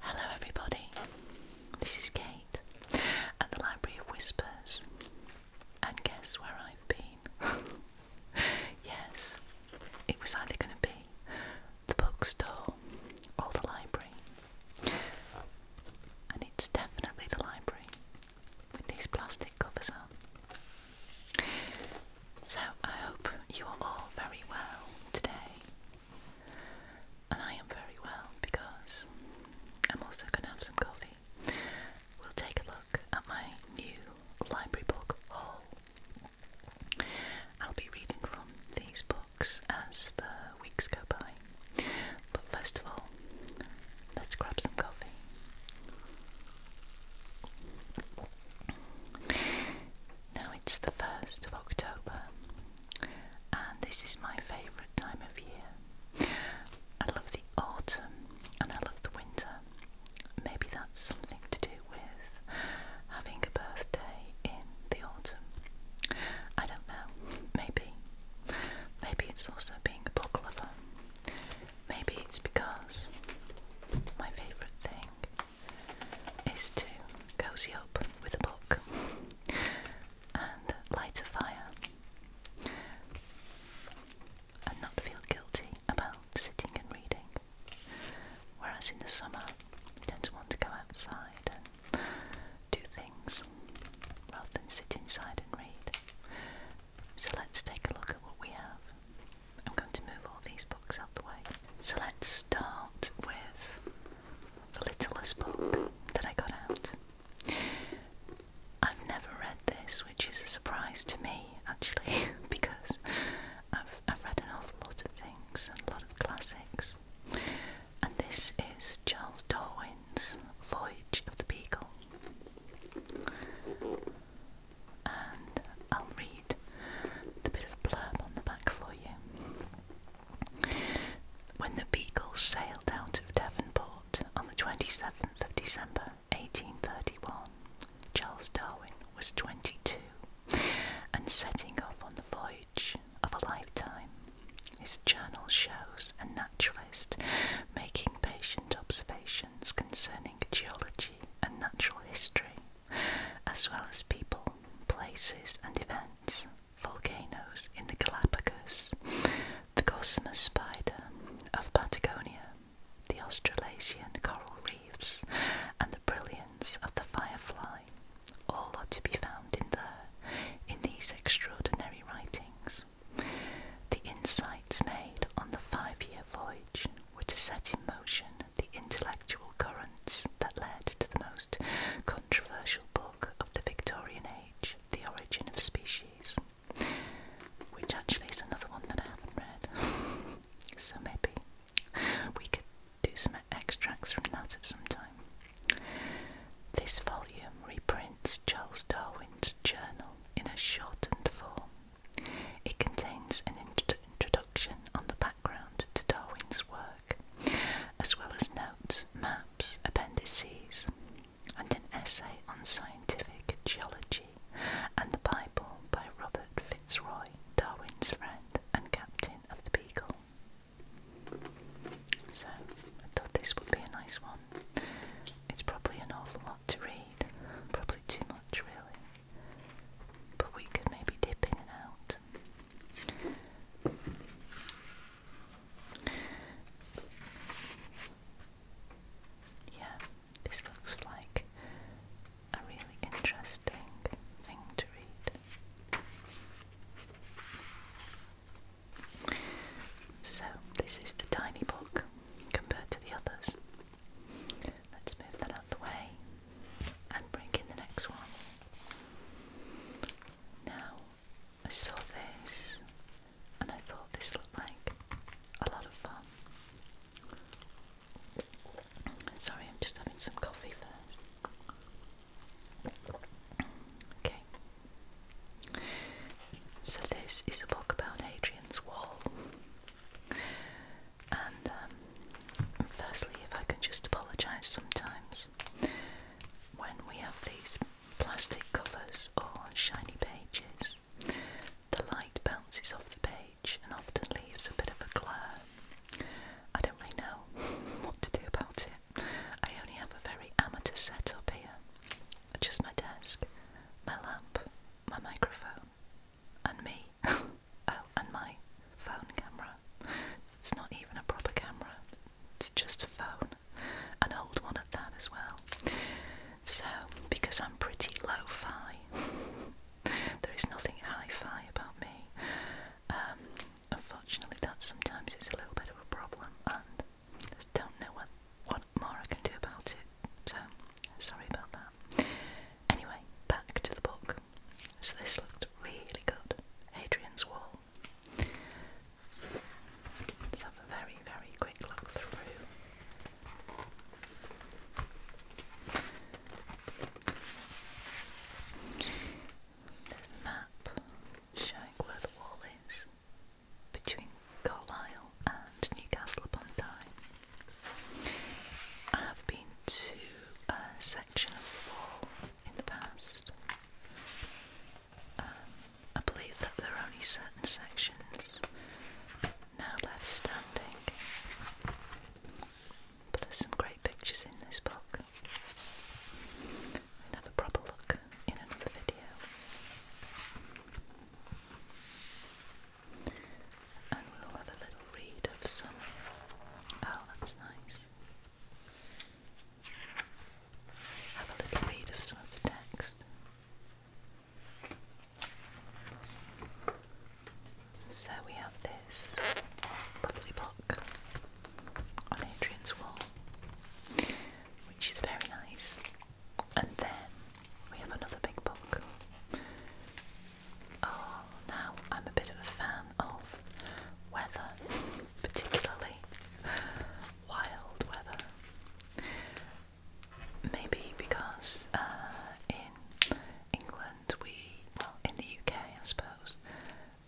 Hello, everybody. This is Kate at the Library of Whispers, and guess where I've been? yes, it was either going to be the bookstore or the library, and it's definitely the library with these plastic covers on. So, I hope you are all very well today. And I am very well because I'm also going to have some coffee. We'll take a look at my new library book haul. I'll be reading from these books as the weeks go by. But first of all, let's grab some coffee. Now it's the 1st of October, and this is my favourite time of year. I love the autumn and I love the winter. Maybe that's something to do with having a birthday in the autumn. I don't know. Maybe. Maybe it's also being a book lover. Maybe it's because my favourite thing is to cozy up with a book and light a fire and not feel guilty about sitting and reading. Whereas in the summer, you tend to want to go outside and do things rather than sit inside and read. So let's take a look at what we have. I'm going to move all these books out the way. So let's start with the littlest book that I got out. I've never read this, which is a surprise to me actually, because I've, I've read an awful lot of things and a lot of classics. And this is Charles Darwin's Voyage of the Beagle. I'll read the bit of blurb on the back for you. When the Beagle sailed out of Devonport on the 27th of December 1831, Charles Darwin was 22 and setting off on the voyage of a lifetime. His journal shows a naturalist making patient observations concerning geology and natural history as well as people, places, and events, volcanoes in the Galapagos, the gossamer spider of Patagonia, the Australasian coral reefs, and the brilliance of the firefly. All are to be found in there, in these extraordinary writings. The insights made on the five year voyage were to set in motion the intellectual currents that led to the most controversial book of the Victorian age, The Origin of Species, which actually is another one that I haven't read. so maybe we could do some extracts from that at some time. This volume reprints Charles Darwin's journal in a shortened form it contains an introduction on the background to Darwin's work, as well as notes, maps, appendices, and an essay on scientific geology and the Bible by Robert Fitzroy, Darwin's friend and captain of the Beagle. So, I thought this would be a nice one. It's probably an awful lot to read, probably too much, really but we could maybe dip in and out. Yeah, this looks like a really interesting thing to read. So, this is the tiny book compared to the others. Let's move that out the way and bring in the next one. Now, I saw this and I thought this looked like a lot of fun. Sorry, I'm just having some coffee first. Okay. So, this is a book about Hadrian's Wall, and um, firstly, if I can just apologise sometimes when we have these plastic covers or shiny pages, the light bounces off the page and often leaves a bit of a glare. I don't really know what to do about it. I only have a very amateur setup here just my desk, my lamp, my microphone, and me. Oh, and my phone camera. It's not even a proper camera, it's just a phone. An old one at that as well. So, because I'm pretty lo fi, there is nothing hi fi about me. Um, unfortunately, that sometimes is a little bit of a problem, and I don't know what, what more I can do about it. So, sorry about that. Anyway, back to the book. So this looked really good. Hadrian's Wall. Let's have a very, very quick look through. There's map showing where the wall is between Carlisle and Newcastle upon Tyne. I have been to a section of wall in the past. Um, I believe that there are only certain sections now left standing, but there's some great pictures in this book. We'll have a proper look in another video and we'll have a little read of some. Oh, that's nice. Have a little read of some of the text. So we have this lovely book on Adrian's wall, which is very nice. And then we have another big book. Oh, now I'm a bit of a fan of weather, particularly wild weather. Maybe because uh, in England, we, well, in the UK, I suppose,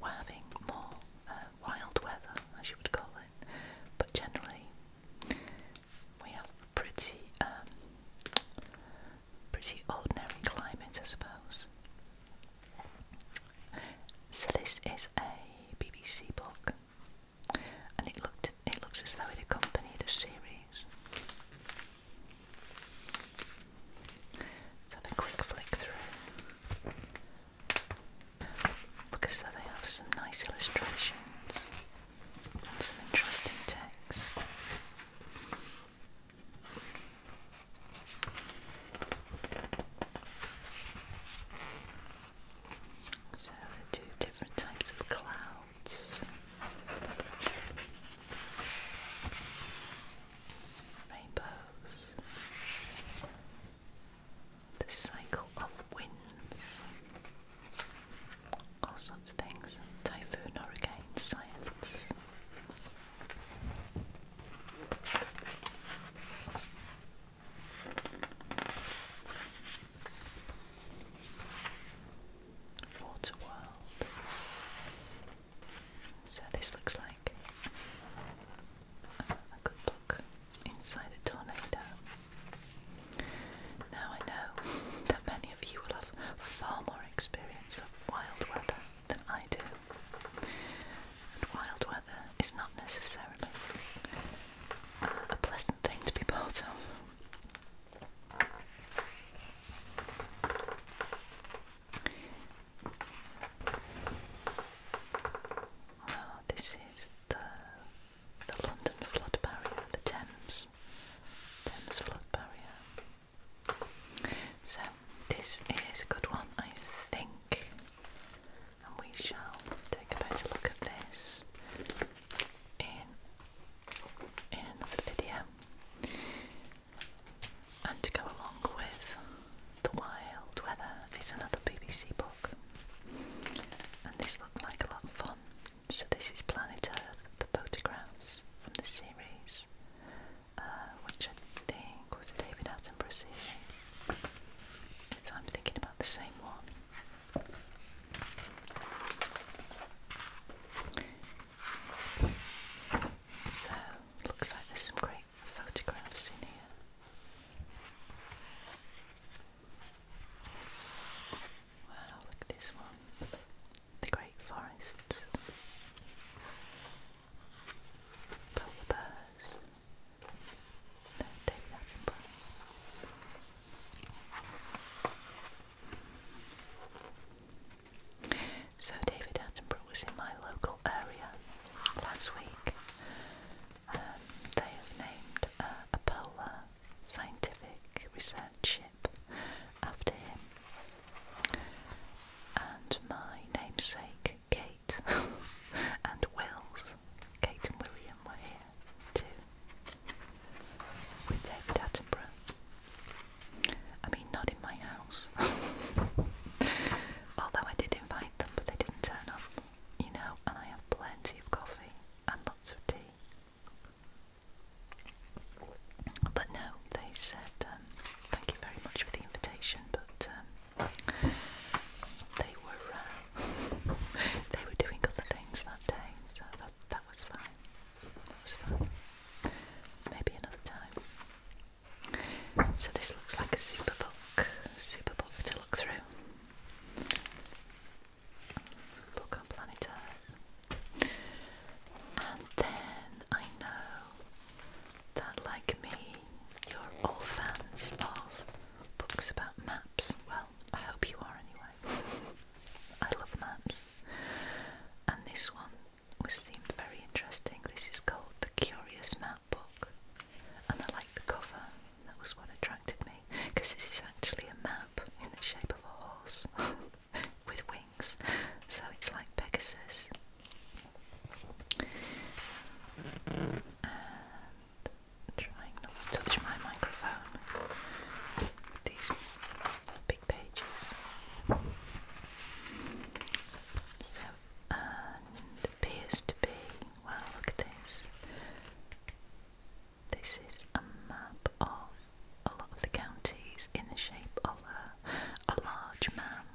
we're having more uh, wild weather, as you would call it, but generally we have pretty, um, pretty ordinary climate, I suppose. So this is a BBC book, and it looked it looks as though it accompanied a series. Let's have a quick flick through. Look as though they have some nice illustrations and some interesting text. So, two different types of clouds. Rainbows. The cycle of winds all sorts of things typhoon, hurricane, science. Water world. So this looks like a good book inside a tornado. Now I know that many of you will have far more experience of wild weather than I do. And wild weather is not necessarily a pleasant thing to be part of. Oh, this is the the London flood barrier, of the Thames. Thames Barrier. So, this is a good one, I think. And we shall take a better look at this in, in another video. And to go along with The Wild Weather is another BBC book. And this looked like a lot of fun. So this is Planet Earth, the photographs from the series, uh, which I think was a David Attenborough series. If I'm thinking about the same one. So, looks like there's some great photographs in here. Wow, look this one. The Great Forests. Polar Bears. David Attenborough. So David Attenborough was in my local area last week. Um, they have named uh, a polar scientific research ship after him. And my namesake Kate and Wills, Kate and William were here too, with David Attenborough. I mean, not in my house, although I did invite them, but they didn't turn up, you know, and I have plenty of coffee and lots of tea but no, they said, um, thank you very much for the invitation, but um, they were uh, they were doing other things that day, so that was fine. That was fine. Maybe another time. So this looks like a super book, super book to look through book on planet Earth. And then I know that, like me, you're all fans of books about maps. Well, I hope you are anyway. I love maps. And this one was themed very interesting. This is called The Curious Map Book. And I like the cover that was what attracted me because this is actually a map in the shape of a horse with wings, so it's like Pegasus. trying not to touch my microphone. These big pages. So, and appears to be, well, look at this. This is a map of a lot of the counties in the shape of a, large man.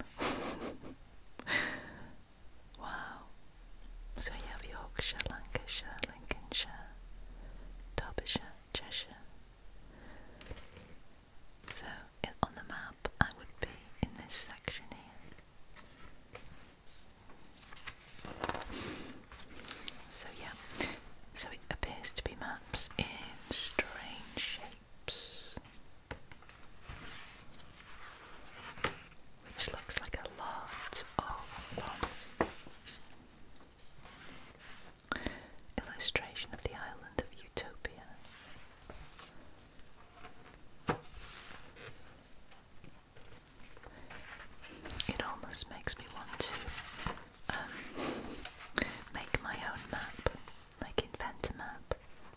wow. So you have Yorkshire, Lancashire, Lincolnshire, Derbyshire, Cheshire. So on the map, I would be in this section here. So yeah, so it appears to be maps in strange shapes. Which looks like a lot of Illustration of the island of Utopia. It almost makes me want to um, make my own map, like invent a map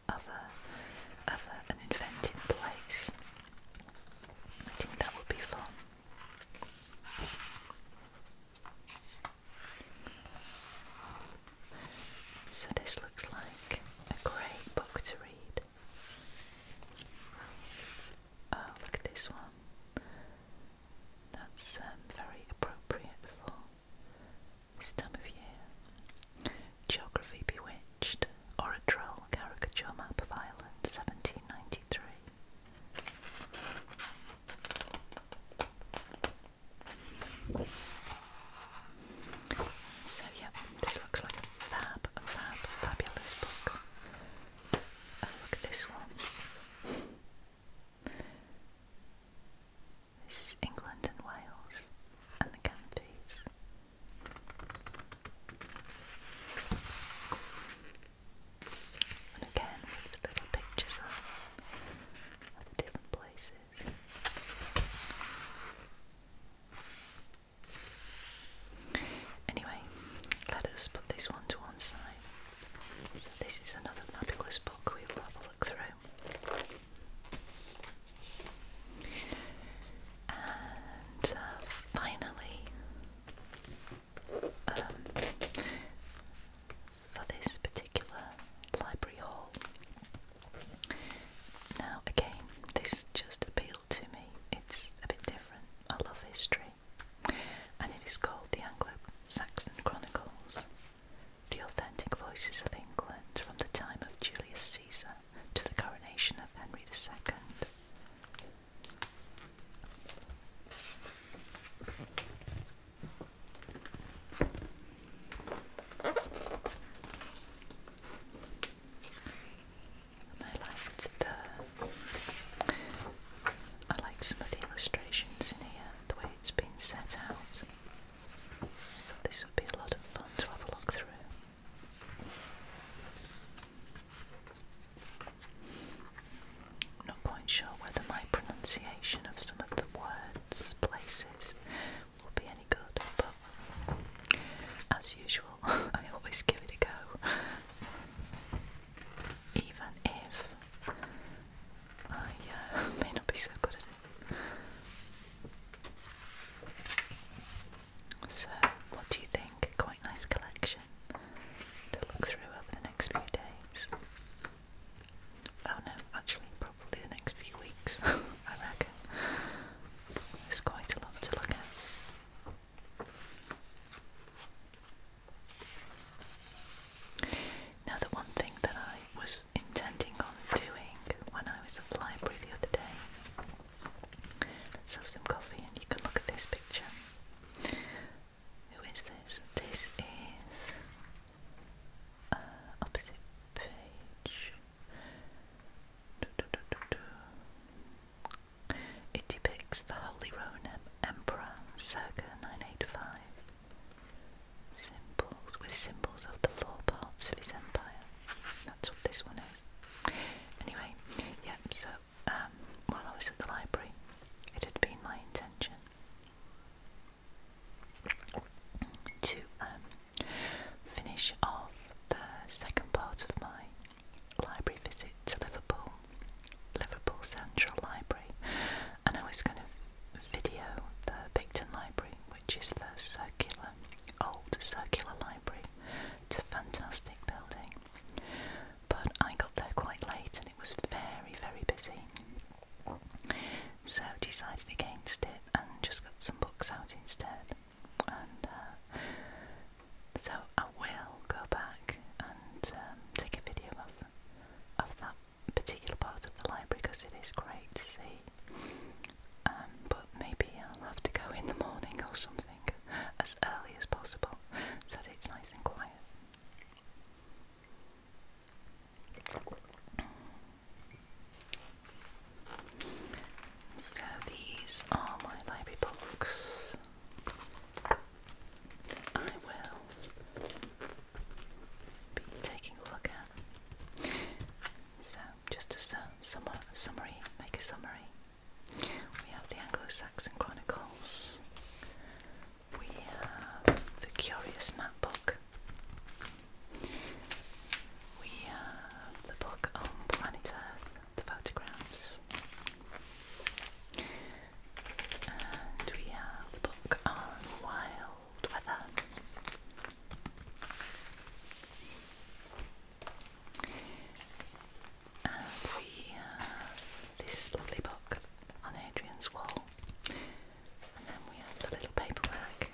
of a of an invented place. I think that would be fun. So this looks like a great book to read. Oh, look at this one. That's um, very appropriate for this time of year. Geography Bewitched, or a troll Caricature Map of Ireland, 1793. So yeah, this looks like a fab, fab, fabulous book. Oh, look at this one. This is England and Wales and the canopies. And again, with the little pictures of different places. Anyway, let us put this one to one side. this is another fabulous book we'll have a look through. And uh, finally, um, for this particular library hall. Now, again, this just appeals to me. It's a bit different. I love history. And it is called The Anglo Saxon Chronicles The Authentic Voices of England from the time of Julius Caesar to the coronation of Henry II. I like the I liked some of the illustrations in here, the way it's been set out. So this would be a lot of fun to have a look through. not quite sure whether my pronunciation of some of the words, places, will be any good, but as usual, I always give it a go even if I uh, may not be so good at it. So, what do you think? Quite nice collection to look through over the next few days. Oh no, actually, probably the next few weeks, I reckon. There's quite a lot to look at. Now, the one thing that I was intending on doing when I was at the library the other day, let's have some coffee and you can look at this picture. Who is this? This is uh, opposite page. Do, do, do, do, do. It depicts the Holy Roman Emperor circa 985 symbols with symbols of the four parts of his empire. That's what this one is. Anyway, yeah, so um, while I was at the library, it had been my intention to um, finish off the second part of my library visit to Liverpool, Liverpool Central Library, and I was going to video the Picton Library, which is the circular, old circular library. It's a fantastic building, but I got there quite late and it was very, very busy. So decided against it and just got some books out instead. Uh, so I will go back and um, take a video of, of that particular part of the library because it is great to see. Um, but maybe I'll have to go in the morning or something as early as possible so it's nice and quiet. So these are my library books that I will be taking a look at. So just as a sum summary, make a summary. We have the Anglo-Saxon Chronicles. We have the Curious Map Book. We have the book on Planet Earth the photographs. And we have the book on wild weather. And we have this lovely book on Adrian's wall. And then we have the little paperwork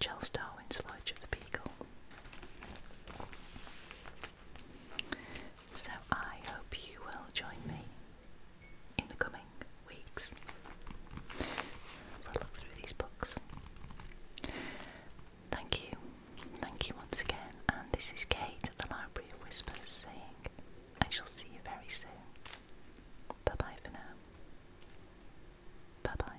Charles Darwin's Voyage of the Beagle. So I hope you will join me in the coming weeks for a look through these books. Thank you, thank you once again, and this is Kate the Library of saying, I shall see you very soon. Bye bye for now. Bye bye.